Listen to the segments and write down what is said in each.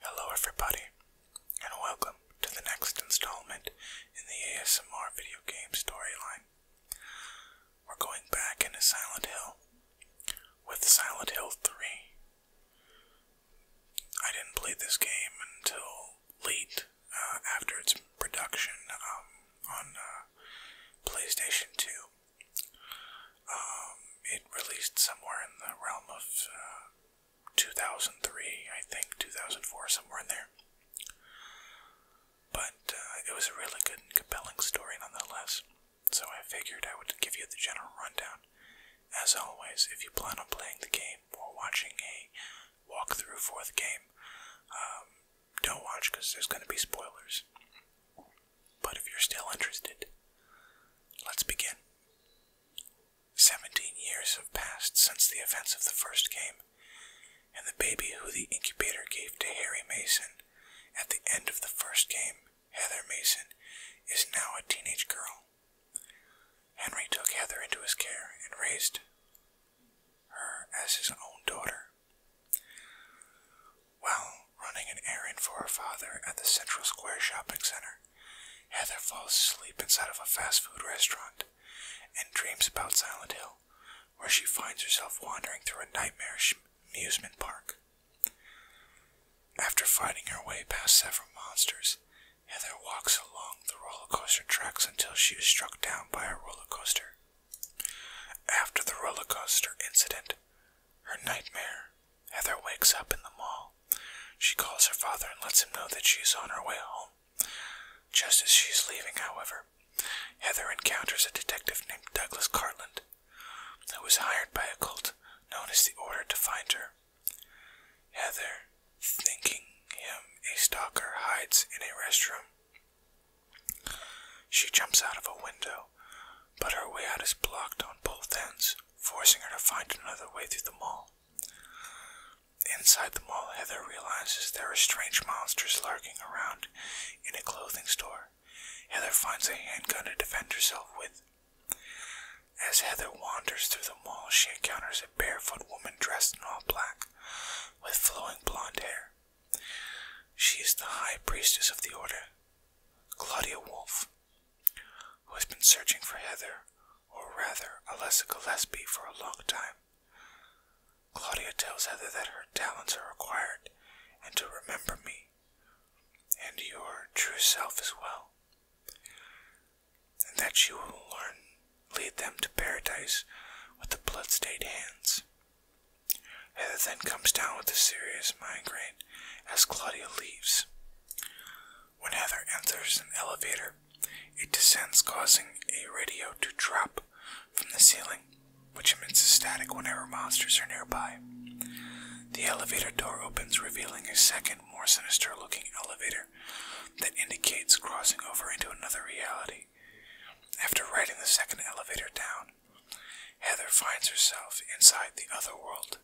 Hello everybody, and welcome to the next installment in the ASMR video game storyline. We're going back into Silent Hill with Silent Hill 3. I didn't play this game until late uh, after its production um, on uh, PlayStation 2. Um, it released somewhere in the realm of uh, 2003, I think, 2004, somewhere in there. But uh, it was a really good and compelling story nonetheless, so I figured I would give you the general rundown. As always, if you plan on playing the game or watching a walkthrough for the game, um, don't watch because there's going to be spoilers. But if you're still interested, let's begin. Seventeen years have passed since the events of the first game, and the baby who the incubator gave to Harry Mason at the end of the first game, Heather Mason, is now a teenage girl. Henry took Heather into his care and raised her as his own daughter. Well, running an errand for her father at the Central Square Shopping Center. Heather falls asleep inside of a fast food restaurant and dreams about Silent Hill, where she finds herself wandering through a nightmarish amusement park. After fighting her way past several monsters, Heather walks along the roller coaster tracks until she is struck down by a roller coaster. After the roller coaster incident, her nightmare Heather wakes up in the mall. She calls her father and lets him know that she is on her way home. Just as she is leaving, however, Heather encounters a detective named Douglas Cartland, who was hired by a cult known as the Order to find her. Heather, thinking him a stalker, hides in a restroom. She jumps out of a window, but her way out is blocked on both ends, forcing her to find another way through the mall. Inside the mall, Heather realizes there are strange monsters lurking around in a clothing store. Heather finds a handgun to defend herself with. As Heather wanders through the mall, she encounters a barefoot woman dressed in all black, with flowing blonde hair. She is the High Priestess of the Order, Claudia Wolf, who has been searching for Heather, or rather Alessa Gillespie, for a long time. Claudia tells Heather that her talents are required and to remember me, and your true self as well, and that you will learn, lead them to paradise with the blood-stained hands. Heather then comes down with a serious migraine as Claudia leaves. When Heather enters an elevator, it descends, causing a radio to drop from the ceiling, which emits a static whenever monsters are nearby. The elevator door opens, revealing a second, more sinister looking elevator that indicates crossing over into another reality. After riding the second elevator down, Heather finds herself inside the other world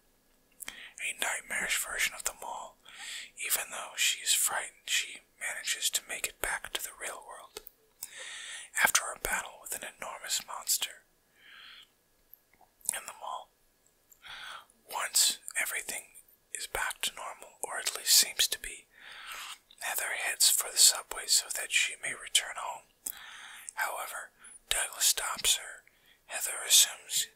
a nightmarish version of them all. Even though she is frightened, she manages to make it back to the real world. After a battle with an enormous monster in the mall, once everything is back to normal, or at least seems to be, Heather heads for the subway so that she may return home. However, Douglas stops her. Heather assumes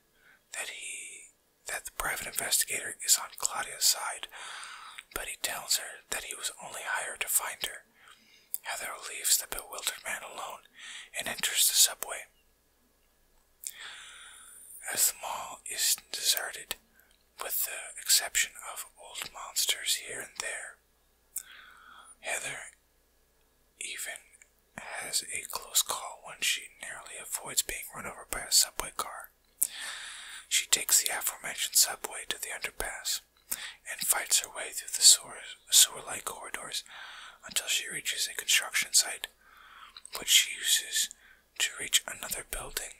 that he that the private investigator is on Claudia's side, but he tells her that he was only hired to find her. Heather leaves the bewildered man alone and enters the subway. As the mall is deserted, with the exception of old monsters here and there, Heather even has a close call when she narrowly avoids being run over by a subway car. She takes the aforementioned subway to the underpass and fights her way through the sewer like corridors until she reaches a construction site, which she uses to reach another building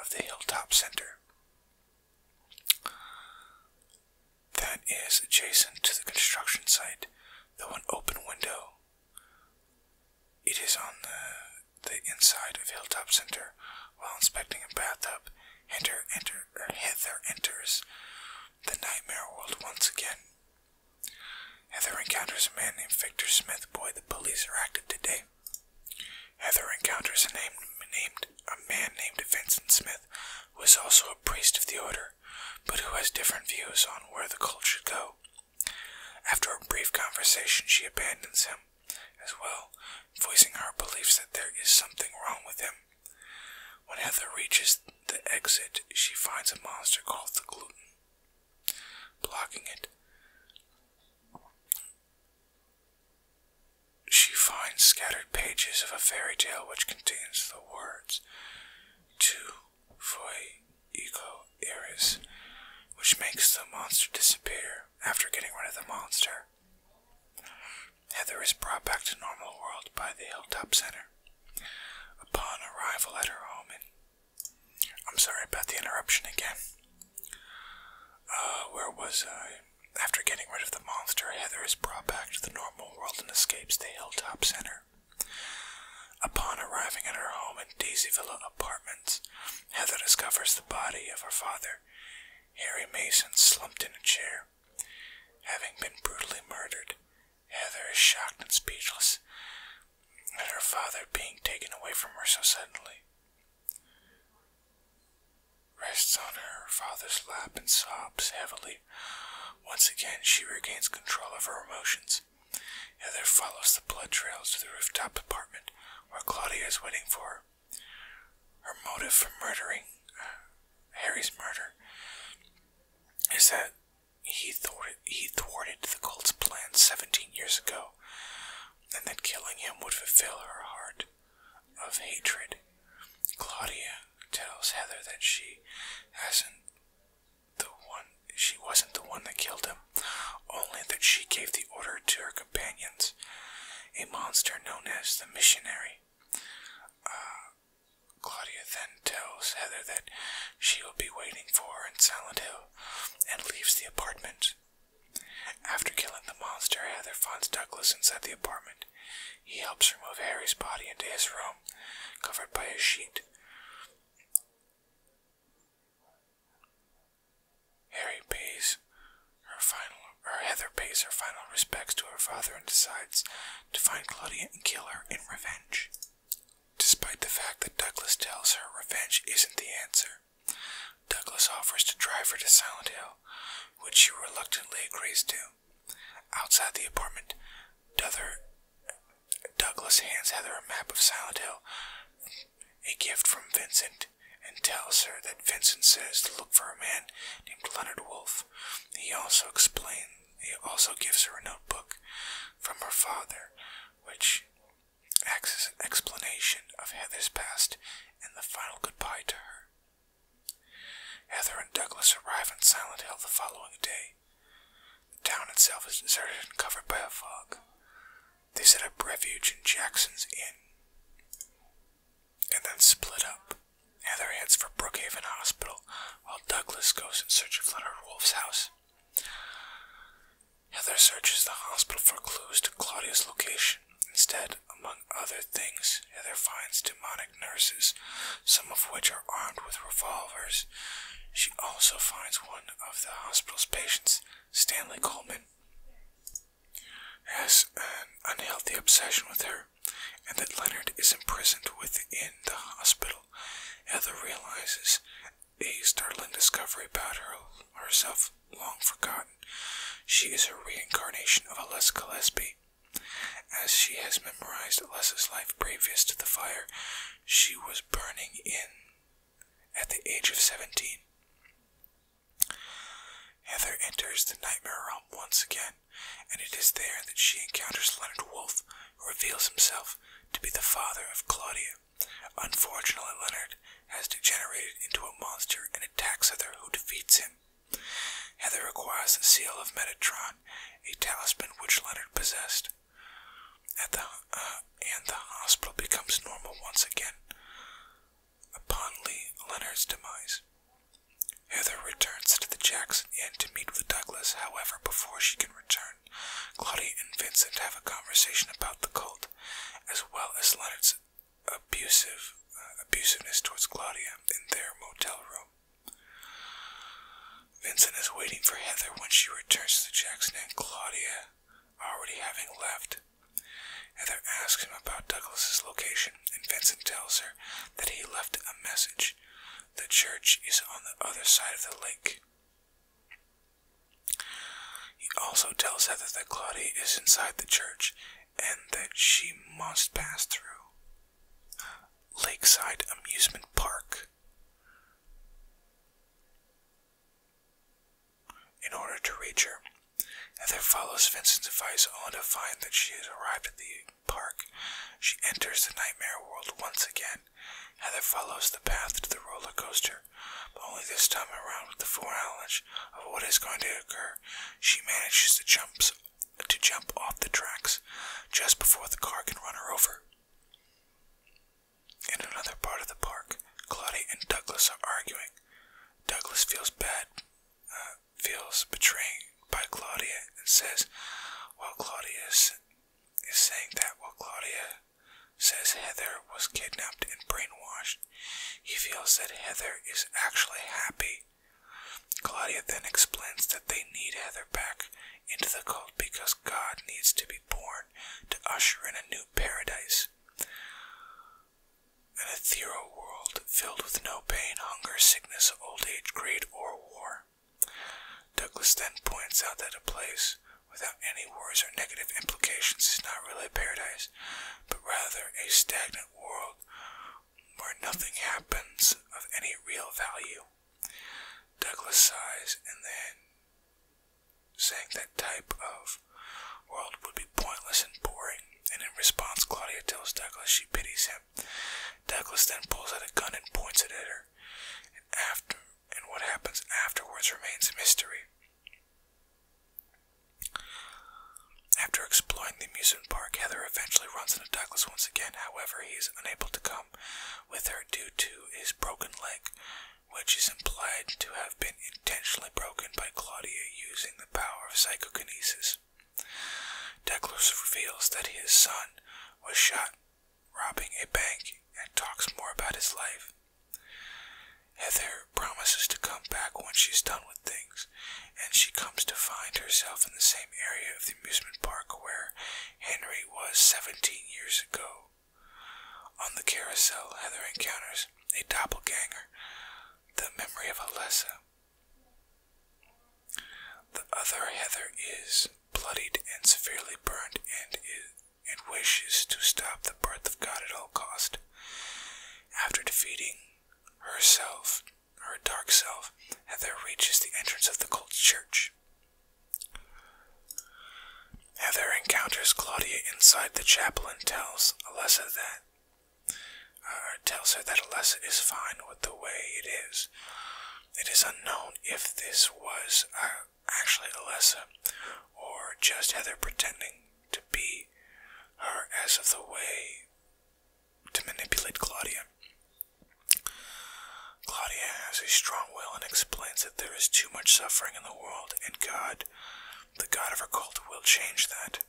of the Hilltop Center that is adjacent to the construction site, though an open window. It is on the, the inside of Hilltop Center. While inspecting a bathtub, Hither, enter, er, enters the nightmare world once again. Heather encounters a man named Victor Smith. Boy, the police are active today. Heather encounters a, named, a man named Vincent Smith who is also a priest of the order, but who has different views on where the cult should go. After a brief conversation, she abandons him as well, voicing her beliefs that there is something wrong with him. When Heather reaches the exit, she finds a monster called the Gluten, blocking it. She finds scattered pages of a fairy tale which contains the words to Foy Eco Iris, which makes the monster disappear after getting rid of the monster. Heather is brought back to normal world by the Hilltop Center. Upon arrival at her home I'm sorry about the interruption again. Uh, where was I? After getting rid of the monster, Heather is brought back to the normal world and escapes the Hilltop Center. Upon arriving at her home in Daisy Villa Apartments, Heather discovers the body of her father, Harry Mason, slumped in a chair. Having been brutally murdered, Heather is shocked and speechless at her father being taken away from her so suddenly. Rests on her father's lap and sobs heavily once again, she regains control of her emotions. Heather follows the blood trails to the rooftop apartment where Claudia is waiting for her. Her motive for murdering uh, Harry's murder is that he thwarted, he thwarted the cult's plan 17 years ago, and that killing him would fulfill her heart of hatred. Claudia tells Heather that she hasn't the one she wasn't the one that killed him, only that she gave the order to her companions, a monster known as the missionary. Uh, Claudia then tells Heather that she will be waiting for her in Silent Hill and leaves the apartment. After killing the monster, Heather finds Douglas inside the apartment. He helps remove Harry's body into his room covered by a sheet. Harry pays her final, or Heather pays her final respects to her father and decides to find Claudia and kill her in revenge. Despite the fact that Douglas tells her revenge isn't the answer, Douglas offers to drive her to Silent Hill, which she reluctantly agrees to. Outside the apartment, Duther, Douglas hands Heather a map of Silent Hill, a gift from Vincent, and tells her that Vincent says to look for a man named Leonard Wolfe. He also explains. He also gives her a notebook from her father, which acts as an explanation of Heather's past and the final goodbye to her. Heather and Douglas arrive in Silent Hill the following day, the town itself is deserted and covered by a fog. They set up refuge in Jackson's Inn and then split up. Heather heads for Brookhaven Hospital while Douglas goes in search of Leonard Wolf's house. Heather searches the hospital for clues to Claudia's location. Instead, among other things, Heather finds demonic nurses some of which are armed with revolvers. She also finds one of the hospital's patients, Stanley Coleman, has an unhealthy obsession with her, and that Leonard is imprisoned within the hospital. Heather realizes a startling discovery about herself long forgotten. She is a reincarnation of Alessa Gillespie. As she has memorized Alessa's life previous to the fire, she was burning in at the age of 17. Heather enters the nightmare realm once again, and it is there that she encounters Leonard Wolfe, who reveals himself to be the father of Claudia. Unfortunately, Leonard has degenerated into a monster and attacks Heather, who defeats him. Heather acquires the seal of Metatron, a talisman which Leonard possessed. Uh, and the hospital becomes normal once again upon Leonard's demise. Heather returns to the Jackson Inn to meet with Douglas. However, before she can return, Claudia and Vincent have a conversation about the cult, as well as Leonard's abusive uh, abusiveness towards Claudia in their motel room. Vincent is waiting for Heather when she returns to Jackson and Claudia, already having left. Heather asks him about Douglas's location, and Vincent tells her that he left a message. The church is on the other side of the lake. He also tells Heather that Claudia is inside the church and that she must pass through Lakeside Amusement Park. In order to reach her, Heather follows Vincent's advice on to find that she has arrived at the park. She enters the nightmare world once again. Heather follows the path to the roller coaster, but only this time around with the foreknowledge of what is going to occur, she manages to jump off the tracks just before the car can run her over. In another part of the park, Claudia and Douglas are arguing. Douglas feels bad, uh, feels betrayed by Claudia, and says, while Claudia is saying that, while Claudia says Heather was kidnapped and brainwashed, he feels that Heather is actually happy. Claudia then explains that they need Heather back into the cult because God needs to be born to usher in a new paradise. An ethereal world filled with no pain, hunger, sickness, old age, greed, or war. Douglas then points out that a place without any wars or negative implications is not really a paradise, but rather a stagnant world where nothing happens of any real value. Douglas sighs and then, saying that type of world would be pointless and boring, and in response, Claudia tells Douglas she pities him. Douglas then pulls out a gun and points it at her, and after and what happens afterwards remains a mystery. After exploring the amusement park, Heather eventually runs into Douglas once again. However, he is unable to come with her due to his broken leg, which is implied to have been intentionally broken by Claudia using the power of psychokinesis. Declos reveals that his son was shot robbing a bank and talks more about his life. Heather promises to come back when she's done with things, and she comes to find herself in the same area of the amusement park where Henry was seventeen years ago. On the carousel, Heather encounters a doppelganger, the memory of Alessa. The other Heather is bloodied and severely burned and, is, and wishes to stop the birth of God at all cost. After defeating herself, her dark self, Heather reaches the entrance of the cult church. Heather encounters Claudia inside the chapel and tells Alessa that uh, tells her that Alessa is fine with the way it is. It is unknown if this was uh, actually Alessa or just Heather pretending to be her as of the way to manipulate Claudia. Claudia has a strong will and explains that there is too much suffering in the world, and God, the God of her cult, will change that.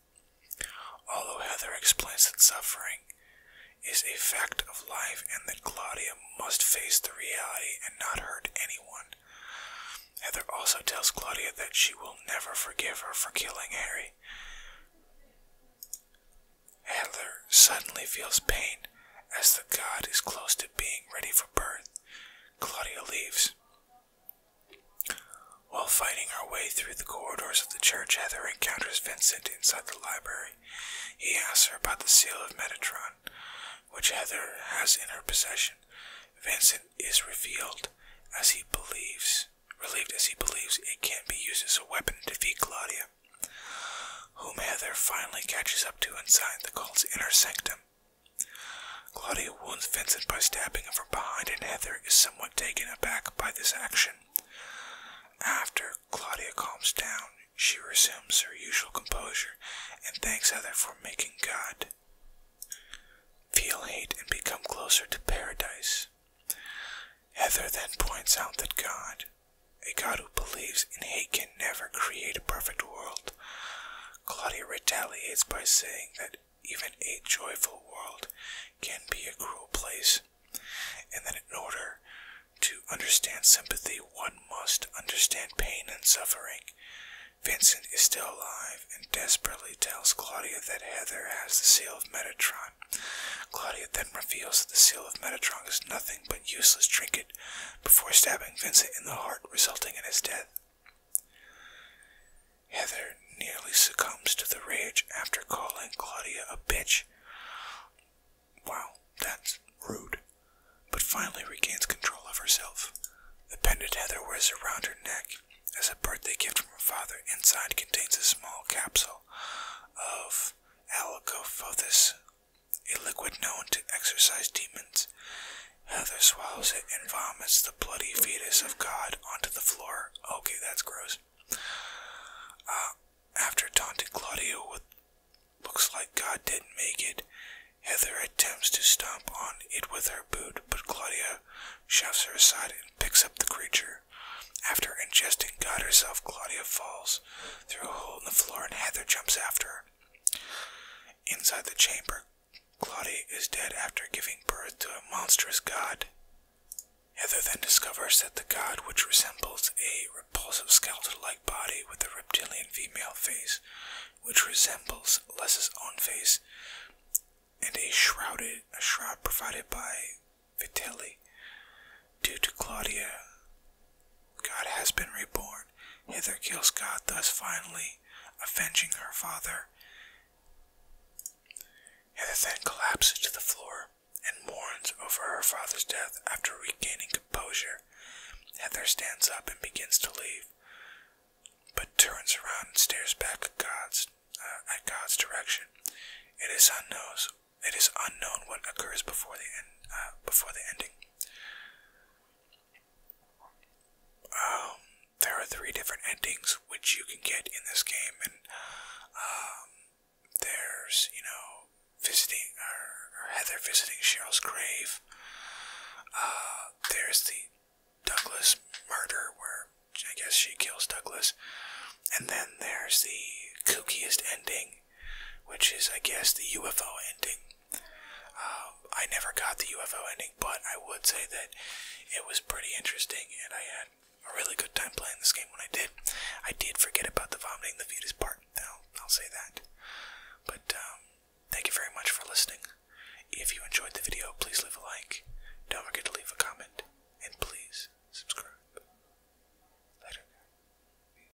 Although Heather explains that suffering is a fact of life and that Claudia must face the reality and not hurt anyone. Heather also tells Claudia that she will never forgive her for killing Harry. Heather suddenly feels pain as the god is close to being ready for birth. Claudia leaves. While fighting her way through the corridors of the church, Heather encounters Vincent inside the library. He asks her about the seal of Metatron, which Heather has in her possession. Vincent is revealed as he believes, relieved as he believes it can be used as a weapon to defeat Claudia whom Heather finally catches up to inside the cult's inner sanctum. Claudia wounds Vincent by stabbing him from behind, and Heather is somewhat taken aback by this action. After Claudia calms down, she resumes her usual composure and thanks Heather for making God. Feel hate and become closer to paradise. Heather then points out that God, a God who believes in hate can never create a perfect world. Claudia retaliates by saying that even a joyful world can be a cruel place, and that in order to understand sympathy, one must understand pain and suffering. Vincent is still alive and desperately tells Claudia that Heather has the seal of Metatron. Claudia then reveals that the seal of Metatron is nothing but useless trinket before stabbing Vincent in the heart, resulting in his death. Heather nearly succumbs to the rage after calling Claudia a bitch. Wow, that's rude. But finally regains control of herself. The pendant Heather wears around her neck as a birthday gift from her father. Inside contains a small capsule of Alicophthis a liquid known to exorcise demons. Heather swallows it and vomits the bloody fetus of God onto the floor. Okay, that's gross. Uh, after taunting Claudia with looks like God didn't make it, Heather attempts to stomp on it with her boot, but Claudia shoves her aside and picks up the creature. After ingesting God herself, Claudia falls through a hole in the floor and Heather jumps after her. Inside the chamber, Claudia is dead after giving birth to a monstrous god. Heather then discovers that the god, which resembles a repulsive skeleton like body with a reptilian female face, which resembles Les's own face, and a shrouded a shroud provided by Vitelli due to Claudia. God has been reborn. Hither kills God, thus finally avenging her father. Hither then collapses to the floor and mourns over her father's death after regaining composure. Heather stands up and begins to leave, but turns around and stares back at God's, uh, direction. It is unknown. It is unknown what occurs before the uh, before the ending. Um, there are three different endings which you can get in this game, and um, there's you know visiting or, Heather visiting Cheryl's grave. Uh, there's the Douglas murder where I guess she kills Douglas, and then there's the kookiest ending which is, I guess, the UFO ending. Um, I never got the UFO ending, but I would say that it was pretty interesting, and I had a really good time playing this game when I did. I did forget about the vomiting the fetus part, though, I'll say that. But um, thank you very much for listening. If you enjoyed the video, please leave a like. Don't forget to leave a comment, and please subscribe. Later.